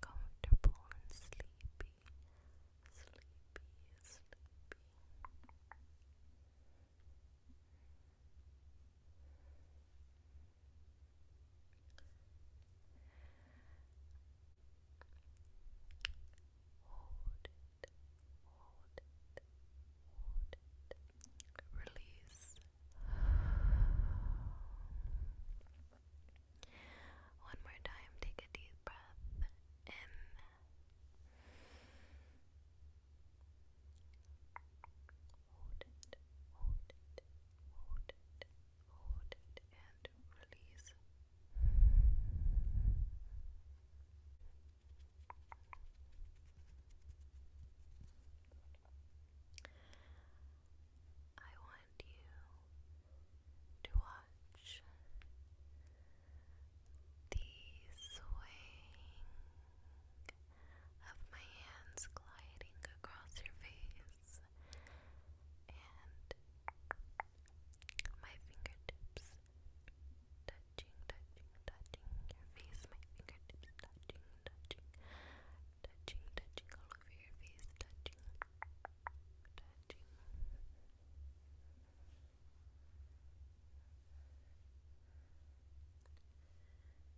Comfortable and sleepy, sleepy, sleepy. Hold it, hold it, hold it. Release. One more time, take a deep breath in. Hold it, hold it, hold it, hold it and release. I want you to watch the swaying of my hands gliding across your face fingers and my fingertips touching, touching, touching your face, my fingertips touching, touching, touching, touching all over your face, touching, touching.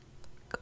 going to be Good.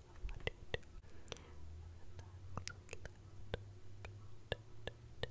want you to relax a little bit. Yep. Good. Good. Good.